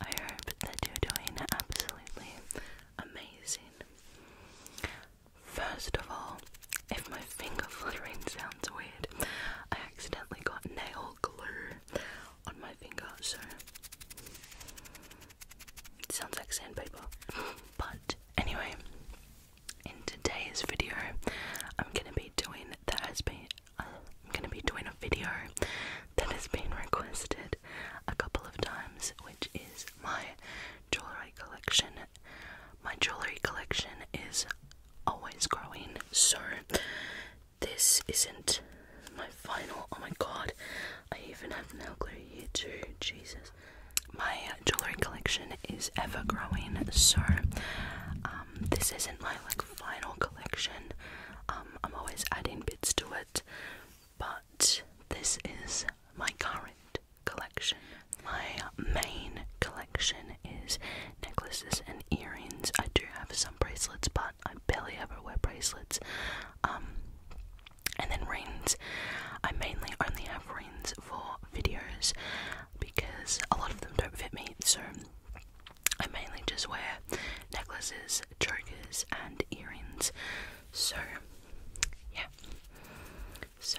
I hope that you're doing absolutely amazing. First of all, if my finger fluttering sounds weird, I accidentally got nail glue on my finger, so it sounds like sandpaper. But anyway, in today's video, I'm gonna be doing that has been. I'm gonna be doing video that has been requested a couple of times, which is my jewelry collection. My jewelry collection is always growing, so this isn't my final. Oh my god, I even have nail glue here too. Jesus, my jewelry collection is ever growing, so um, this isn't my like final collection. Um, I'm always adding bits to it, but this is my current collection. My main collection is necklaces and earrings. I do have some bracelets, but I barely ever wear bracelets. Um, and then rings. I mainly only have rings for videos because a lot of them don't fit me, so I mainly just wear necklaces, chokers, and earrings. So, yeah. So,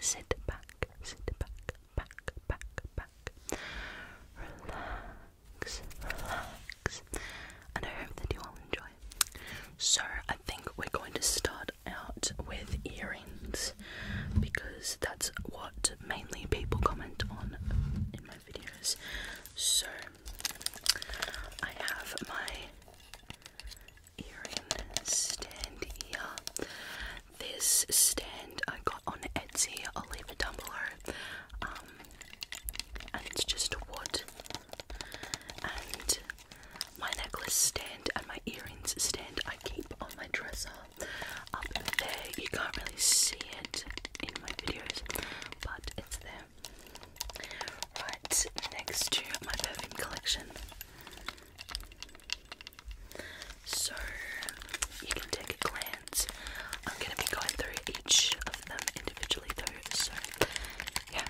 sit back, sit back, back, back, back. Relax, relax. And I hope that you all enjoy. So, I think we're going to start out with earrings because that's what mainly people comment on in my videos. So, I have my earrings stand here. This stand I got on Etsy. I'll leave it down below. Um, and it's just wood. And my necklace stand and my earrings stand I keep on my dresser. Up there, you can't really see it in my videos, but it's there. Right next to my perfume collection. So you can take a glance. I'm going to be going through each of them individually, though. So, yeah.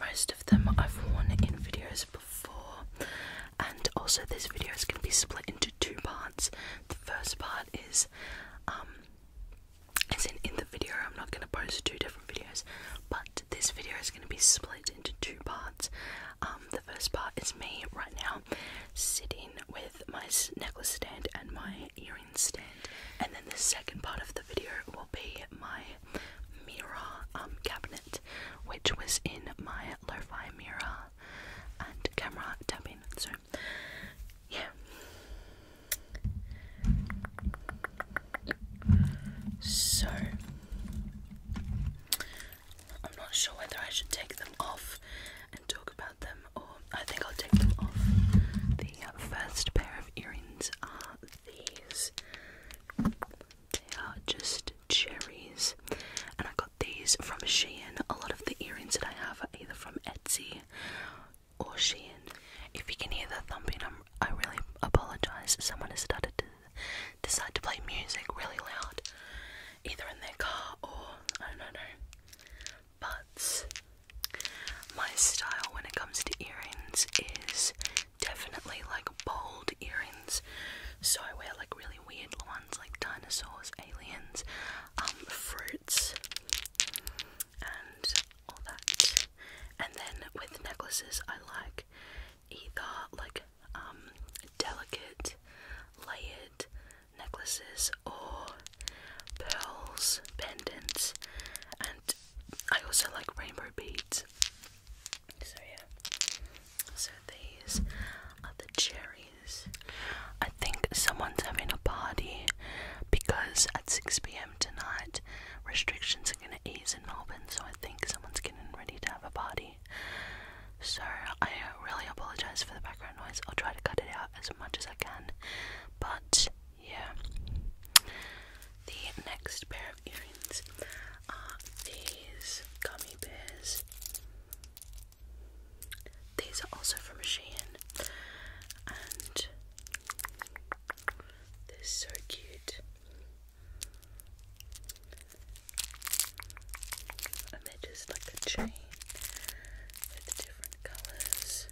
Most of them I've worn in videos before, and also this video is going to be split into two parts. The first part is, um, as in in the video, I'm not going to post two different videos, but this video is going to be split into two parts. Um, the first part is me right now sitting with my necklace stand and my earring stand, and then the second part of the video will be my Mirror um, cabinet, which was in my lo mirror and camera tapping. So, yeah. So, I'm not sure whether I should take them off and talk about them, or I think I'll take them off. The uh, first pair of earrings are these. They are just cherries. And I got these from Shein. A lot of the earrings that I have are either from Etsy or Shein. If you can hear the thumping, i really apologize. Someone has started to decide to play music really loud, either in their car or I don't know. But my style when it comes to earrings is definitely like bold earrings. So I wear like really weird ones like dinosaurs, aliens, um, fruits, and all that. And then with necklaces, I like either like um, delicate, layered necklaces or pearls, pendants, and I also like rainbow beads. So yeah. So these are the cherries. I think someone's having a party because at 6 p.m. tonight restrictions are gonna ease in Melbourne, so I think someone's getting ready to have a party. So I really apologize for the background noise. I'll try to cut it out as much as I can. But yeah. The next pair earrings uh, these gummy bears. These are also from Shein, and they're so cute. they're just like a chain with different colours.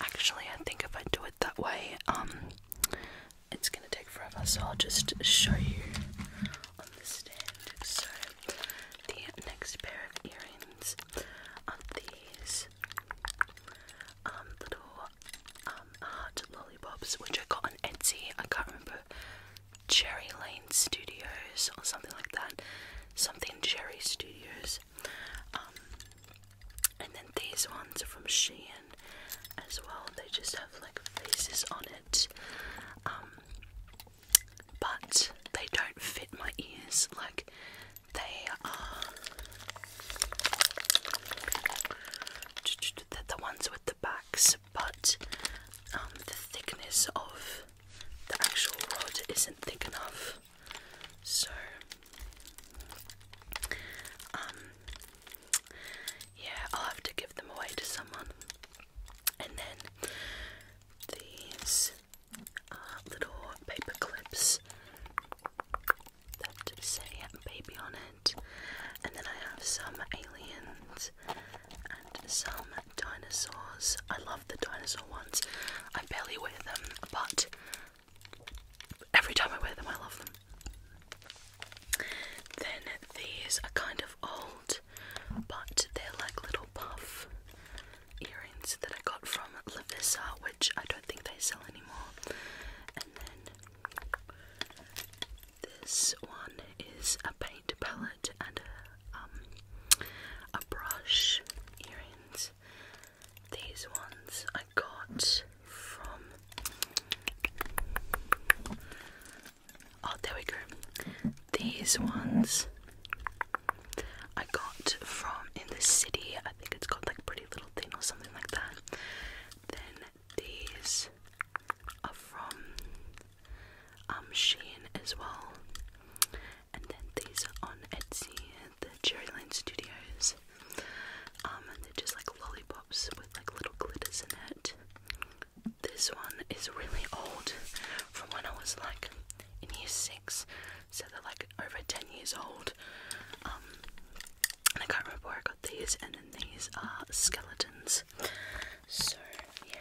Actually, I think if I do it that way, um, it's gonna take forever, so I'll just show you on the stand. So, the next pair of earrings are these um, little um, lollipops, which I got on Etsy. I can't remember Cherry Lane Studios or something like that. Something Cherry Studios. Um, and then these ones are from Shein as well. They just have like faces on it. Um, but they don't fit my ears. Like they are um, they're the ones with the backs, but um, the thickness of the actual rod isn't thick enough. So, um, yeah, I'll have to give them away to someone. And then these uh, little paper clips that say baby on it. And then I have some aliens and some dinosaurs. I love the dinosaur ones. I barely wear them, but every time I wear them, I love them. Then these are kind of old, but they're like little puff earrings that I got from Lavissa, which I don't think they sell anymore. And then this one is a paint palette and a, um, a brush earrings. These ones I got from. Oh, there we go. These ones I got from in the city. I think it's called like Pretty Little Thing or something like that. Then these are from um, Shein as well. And then these are on Etsy, the Cherry Lane Studios. Um, and they're just like lollipops with like little glitters in it. This one is really old from when I was like in year six, so they're like over 10 years old. Um, I can't remember where I got these and then these are skeletons so yeah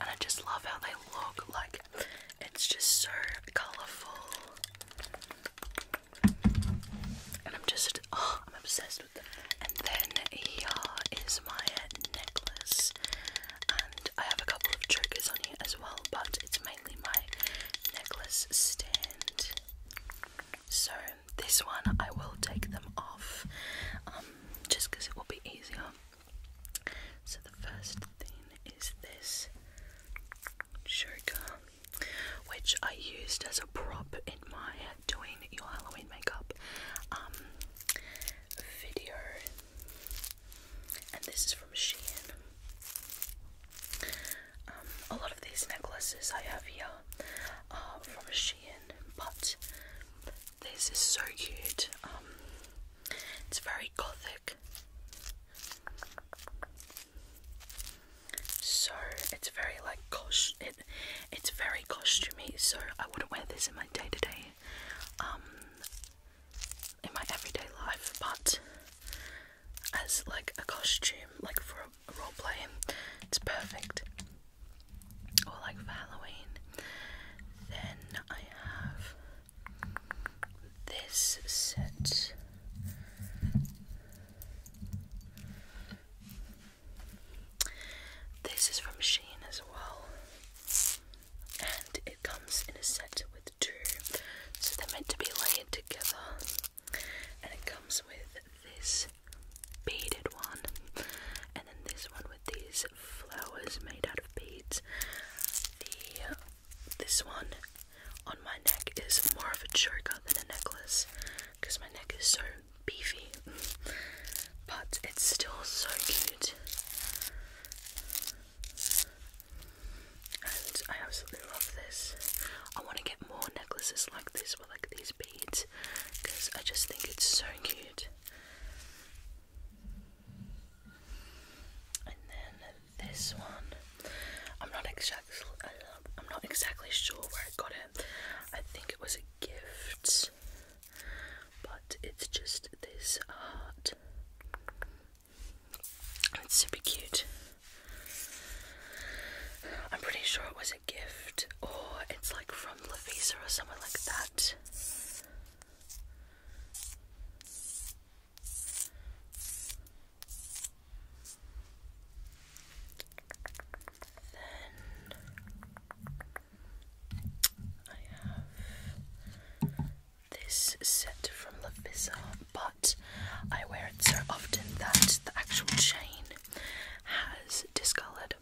and I just love how they look like it's just so colourful and I'm just, oh, I'm obsessed with And then here is my necklace. And I have a couple of triggers on here as well, but it's mainly my necklace stand. So this one, I will take them off, um, just because it will be easier. So the first thing is this sugar, which I used as a prop in my doing your Halloween makeup um, video, and this is from Shein. Um, a lot of these necklaces I have here are from Shein, but this is so cute. Um, it's very gothic. So it's very like cost it it's very costumey, so I wouldn't wear this in my day-to-day um in my everyday life, but as like a costume, like for role playing, it's perfect. Or like Halloween. Then I have this set. This is from Sheen as well, and it comes in a set with two, so they're meant to be layered together. And it comes with this beaded one, and then this one with these flowers made out of beads this one on my neck is more of a choker than a necklace because my neck is so beefy, but it's still so cute. And I absolutely love this. I want to get more necklaces like this with like these beads because I just think it's so cute. And then this one. I'm not exactly I'm not exactly sure where I got it. I think it was a gift, but it's just this heart. It's super cute. I'm pretty sure it was a gift, or it's like from Lavisa or somewhere like that. Then I have this set from Lovisa, but I wear it so often that the actual chain has discoloured,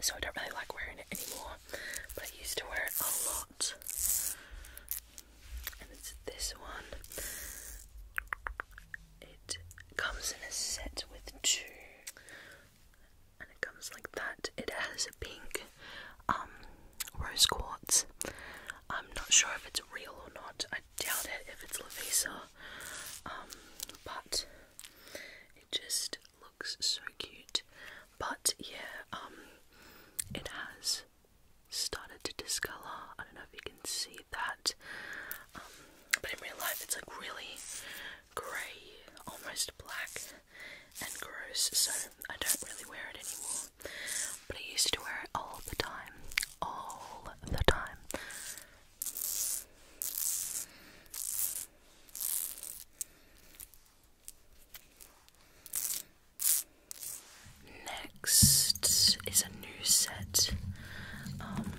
so I don't really like wearing it anymore. But I used to wear it a lot it's this one. It comes in a set with two, and it comes like that. It has a pink um, rose quartz. I'm not sure if it's real or not. I doubt it if it's Lavisa, um, but it just looks so cute. But yeah, um, it has started to discolor. I don't know if you can see that, um, but in real life it's like really grey, almost black and gross, so I don't really wear it anymore. But I used to wear it all the time. All the time. Next is a new set, um,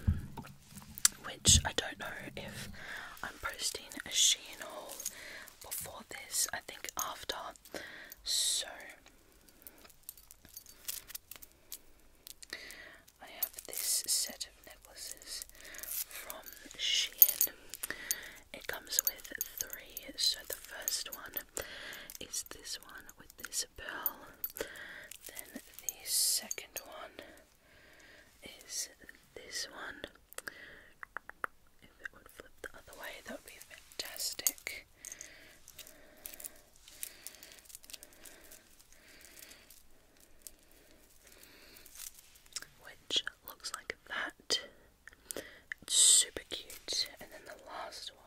which I don't know if I'm posting a Shein haul before this. I think after. So I have this set of necklaces from Shein. It comes with three. So the first one one is this one with this pearl. Then the second one is this one. If it would flip the other way, that would be fantastic. Which looks like that. It's super cute. And then the last one.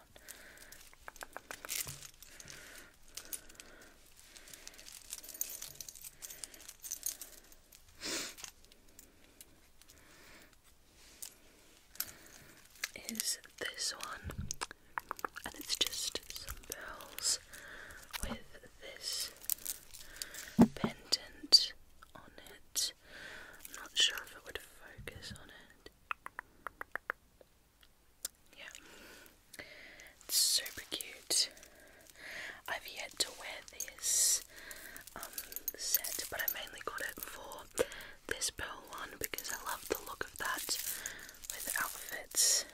Is this one, and it's just some pearls with this pendant on it. not sure if it would focus on it. Yeah. super cute. I've yet to wear this um, set, but I mainly got it for this pearl one because I love the look of that with outfits.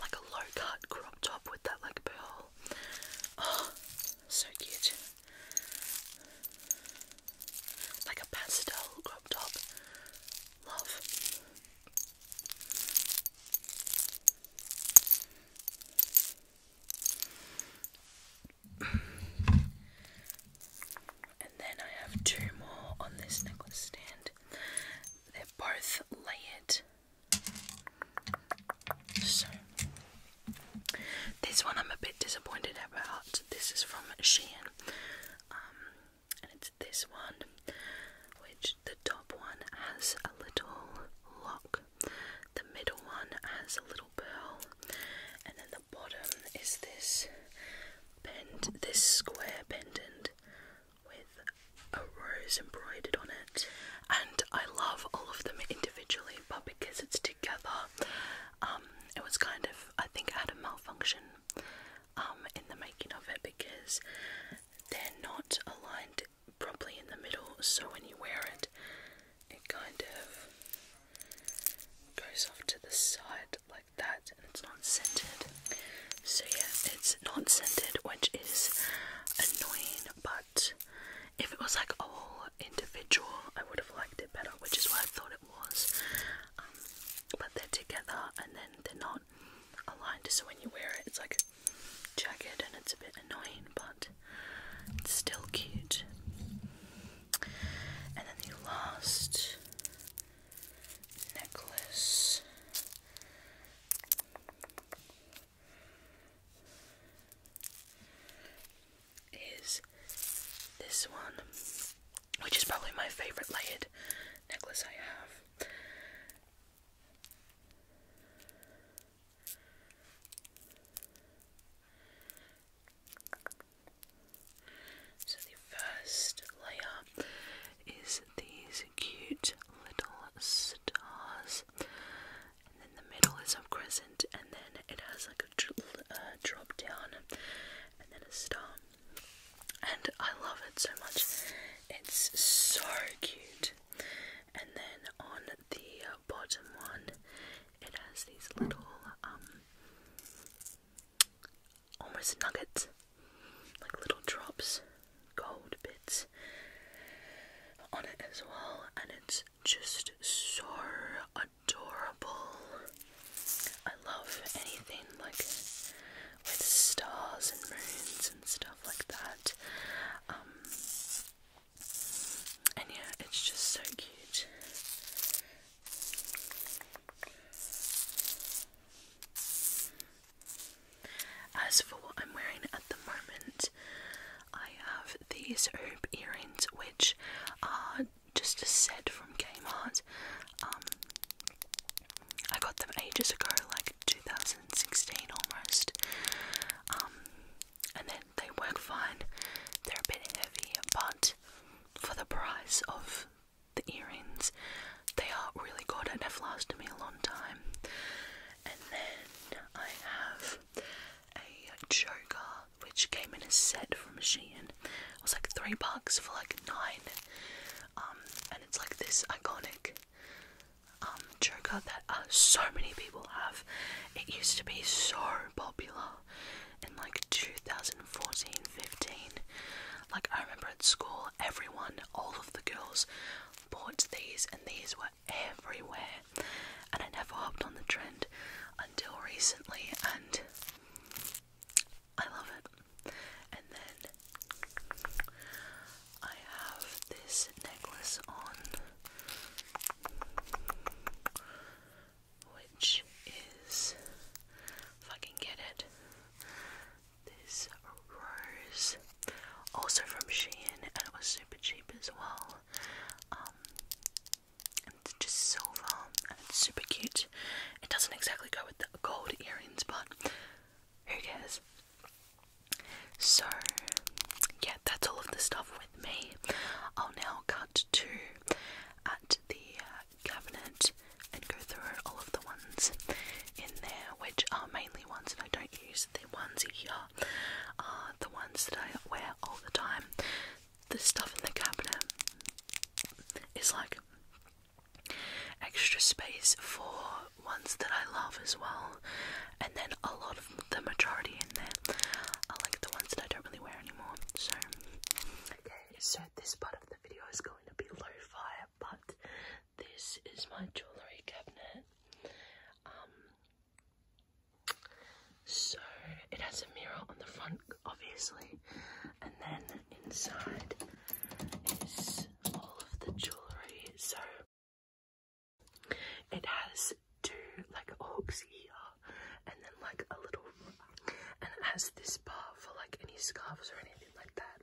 Like a low cut crop top with that like pearl. Oh, so cute. Like a pastel crop top. Love. and then I have two more on this necklace stand. They're both layered. So, this one I'm a bit disappointed about. This is from Shein. Um, and it's this one, which the top one has a little lock, the middle one has a little pearl, and then the bottom is this pend this square pendant with a rose embroidered on it. And I love all of them individually, but because it's together, um, it was kind of I think I had a malfunction um, in the making of it because they're not aligned properly in the middle, so when you wear it, it kind of goes off to the side like that, and it's not centered. So, yeah, it's not centered, which is annoying, but if it was like all individual, I would have liked it better, which is why I thought it was. Um, but they're together and then they're not aligned, so when you wear it, it's like jagged and it's a bit annoying, but it's still cute. And then the last necklace is this one, which is probably my favorite layered necklace I have. So, the first layer is these cute little stars, and then the middle is a crescent, and then it has like a uh, drop down and then a star. And I love it so much. It's so cute. And then on the bottom one, it has these little um almost nuggets, like little drops, gold bits on it as well, and it's just so adorable. I love anything like with stars and moons and stuff like that. Um, and yeah, it's just so cute. As for what I'm wearing at the moment, I have these hoop earrings which are just a set from Kmart. Um, I got them ages ago, like 2016 almost. Um, and then they work fine. They're a bit heavy, but for the price of the earrings, they are really good and have lasted me a long time. And then I have a choker which came in a set from Shein. It was like three bucks for like nine. Um, and it's like this iconic um choker that uh, so many people have. It used to be so popular in like 2014, 15. Like I remember at school, everyone, all of the girls, bought these, and these were everywhere. And I never hopped on the trend until recently, and I love it. And then I have this necklace on, which is, if get it, this rose, also from Shein, and it was super cheap as well. Um, it's just silver and it's super cute. It doesn't exactly go with the gold earrings, but who cares? So, yeah, that's all of the stuff with me. I'll now cut to at the uh, cabinet and go through all of the ones in there, which are mainly ones that I don't use. The ones here are the ones that I wear all the time the stuff in the cabinet is like extra space for ones that I love as well, and then a lot of the majority in there are like the ones that I don't really wear anymore. So, okay, so this part of the video is going to be low fi but this is my jewellery cabinet. Um, so it has a mirror on the front obviously. And then inside is all of the jewellery. So it has two like hooks here and then like a little and it has this bar for like any scarves or anything like that.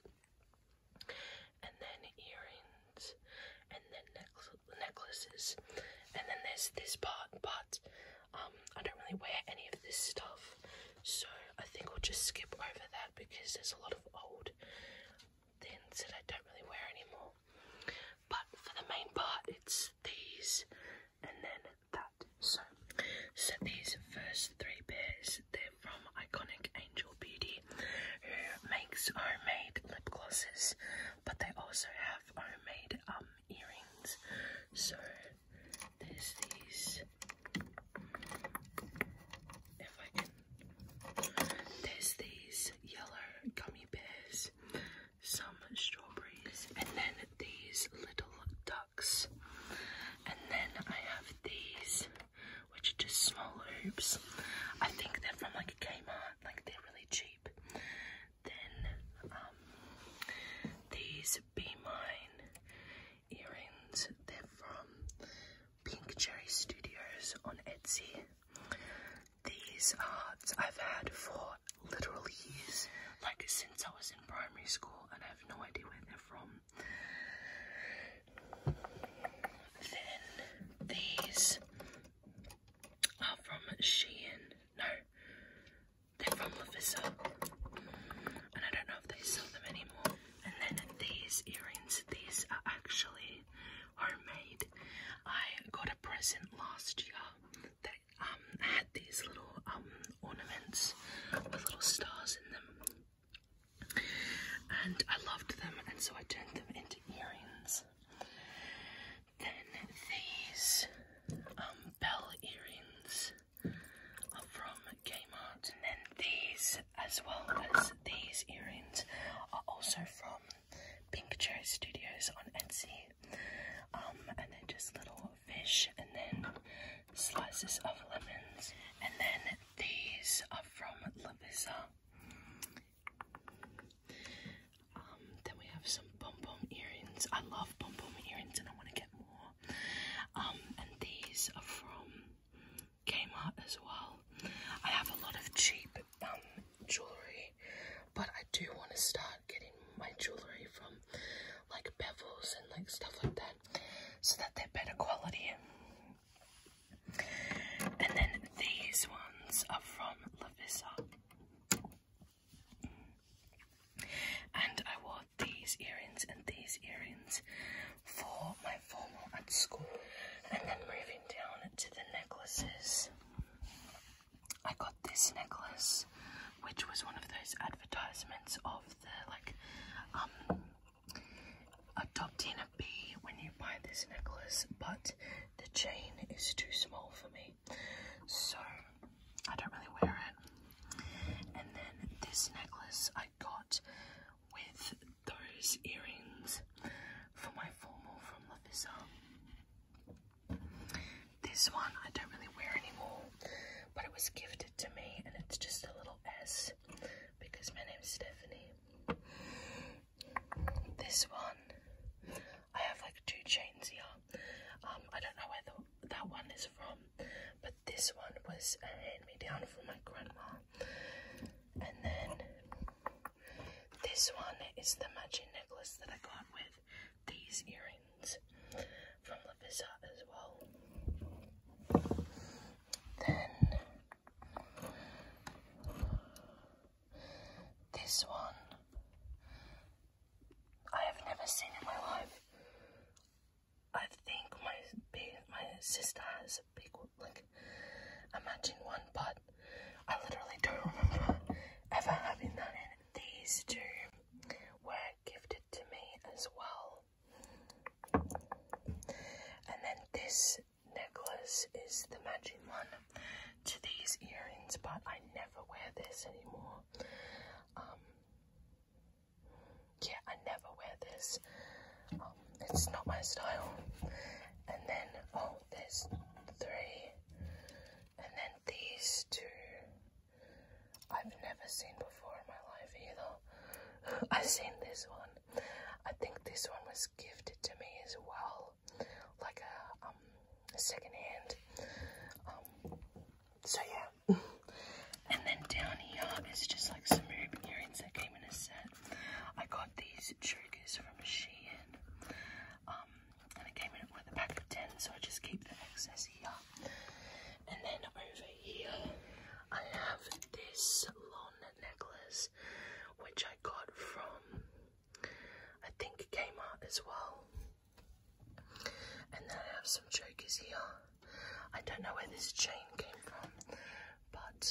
And then earrings and then necklaces and then there's this part but um, I don't really wear any of this stuff, so I think we'll just skip over that because there's a lot of old things that I don't really wear anymore. But for the main part, it's these and then that. So, so these first three pairs, they're from Iconic Angel Beauty, who makes homemade lip glosses, but they also have homemade um earrings. So there's these. If I can. There's these yellow gummy bears, some strawberries, and then these little ducks. And then I have these, which are just small hoops. I think they're from like Kmart, like they're really cheap. Then um, these be Mine earrings. They're from Pink Cherry Studios on Etsy. These are I've had for literally years, like since I was in primary school, and I have no idea where they're from. Then these are from Shein. No, they're from Lovisa. And I don't know if they sell them anymore. And then these earrings, these are actually homemade. I got a present last year that um had these little um ornaments with little stars in them. And I loved them and so I turned them into earrings. Then these um bell earrings are from Kmart. And then these, as well as these earrings, are also from Pink Cherry Studios on Etsy. Um, and then just little fish and then slices of lemons. And then these are from Lavisa. Um, then we have some pom pom earrings. I love pom pom earrings and I want to get more. Um, and these are from Kmart as well. I have a lot of cheap um, jewellery, but I do want to start getting my jewellery from like bevels and like stuff like that so that they're better quality. And then these ones are from Lavisa. And I these earrings and these earrings for my formal at school. And then moving down to the necklaces, I got this necklace, which was one of those advertisements of the like um adopting a bee when you buy this necklace, but the chain is too small for me, so I don't really wear it. And then this necklace I got with those earrings for my formal from Lafisa. This one I don't really wear anymore, but it was gifted to me and it's just a little S because my name is Stephanie. This one, I have like two chains here. Um, I don't know where that one is from, but this one was a hand-me-down from my grandma. And then this one is the magic necklace that I got with these earrings from Lavisa as well. Then this one I have never seen in my life. I think my my sister has a big like a matching one, but I literally don't remember ever having that. these two were gifted to me as well. And then this necklace is the matching one to these earrings, but I never wear this anymore. Um, yeah, I never wear this. Um, it's not my style. And then, oh, there's three. And then these two. I've never seen before in my life either. I've seen this one. I think this one was gifted to me as well. Like a, um, a second hand. Um, so yeah. and then down here is just like some Ruben earrings that came in a set. I got these chokers from Shein. Um, and it came in with a pack of 10, so I just keep the excess here. And then over here, I have this long necklace, which I got from, I think Kmart as well. And then I have some chokers here. I don't know where this chain came from, but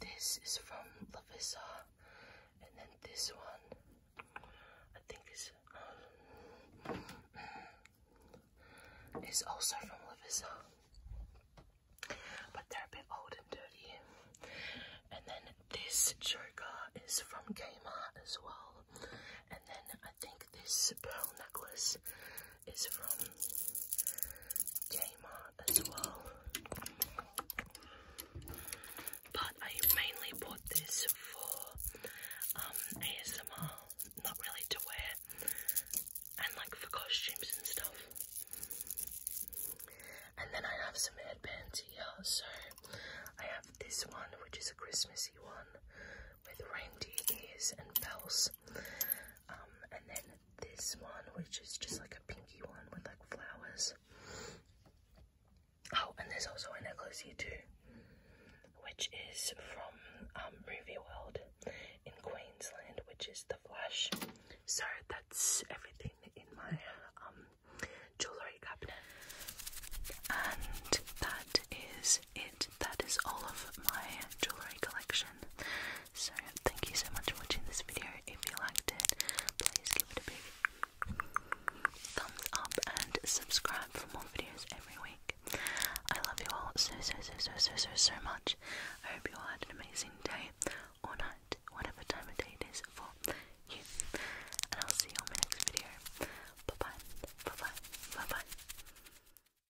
this is from Lavisa, and then this one I think is um, is also from Lavisa, but they're a bit old and dirty. And then this choker is from Gamer as well, and then I think this pearl necklace is from Kmart as well. But I mainly bought this for um, ASMR, not really to wear, and like for costumes and stuff. And then I have some headbands here, so I have this one, which is a Christmassy one with reindeer ears and bells. Um, and then this one, which is just like a pinky one with like flowers. Oh, and there's also a necklace here too, which is from um, Movie World in Queensland, which is the Flash. So that's everything in my um, jewellery cabinet. And that is it. That is all of my jewellery collection. So thank you so much for watching this video. If you liked it, please give it a big thumbs up and subscribe for more videos every week. I love you all so so so so so so so much. I hope you all had an amazing day or night, whatever time of day it is for you. And I'll see you on my next video. Bye bye. Bye bye. Bye bye.